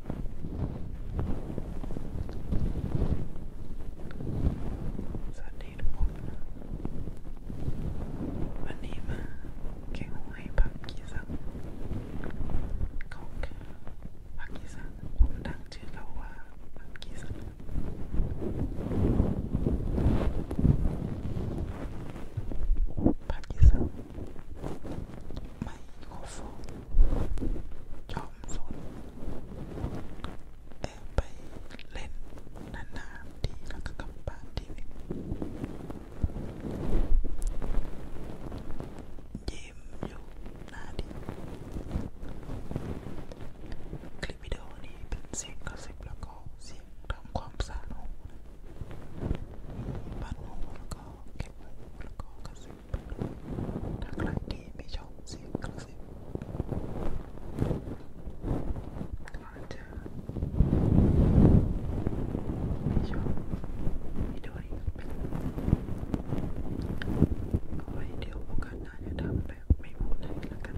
สวัสดีทุกคนนะวันนี้มาแกงหวยผักกีซังของผักกีซังผมดังชื่อเราว่าผักกีซังผักกีซังไมโครโฟนจอมสนแอบไปเล่นนานๆทีแล้วก็กลับบ้านทีนึงยิ้มอยู่หน้าดิคลิปวิดีโอนี้เป็นเสียงกระซิบแล้วก็เสียงทำความสะอาดหูบ้านหูแล้วก็ก็เก็บไว้แล้วก็กระซิบไปด้วยถ้าใครที่ไม่ชอบเสียงกระซิบอาจจะไม่ชอบไม่ด้วยเอาไว้เดี๋ยวโอกาสหน้าจะทำแบบไม่พูดให้ละกัน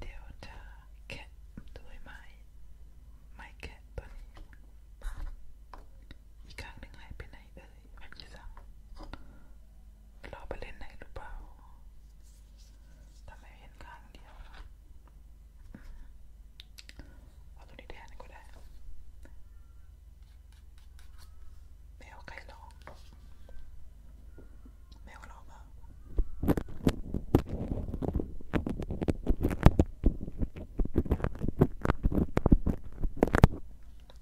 เดี๋ยวจะแคะด้วยไม้ไม้แคะตัวนี้อีกครั้งหนึ่งหายไปไหนเอ่ยแผ่นที่สามเราไปเล่นไหนหรือเปล่าทำไมเห็นข้างเดียวเอาตัวนี้แทนก็ได้แมวใครลองแมวเราเปล่า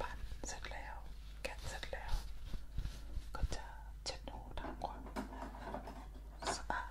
ปั่นเสร็จแล้วแกะเสร็จแล้วก็จะเช็ดหูทำความสะอาด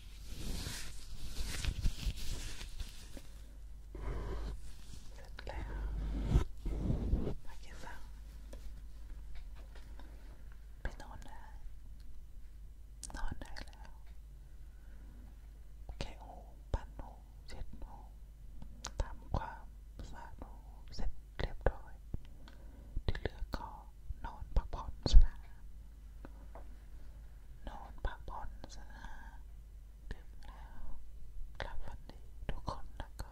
เสร็จแล้วมาเก็บฟังไปนอนได้นอนได้แล้วแค่หูปั้นหูเช็ดหูทำความสะอาดหูเสร็จเรียบร้อยที่เหลือก็นอนพักผ่อนซะนะนอนพักผ่อนซะนะดึกแล้วหลับฝันดีทุกคนแล้วก็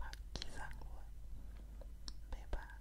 พักกี่สังด้วยบ๊ายบาย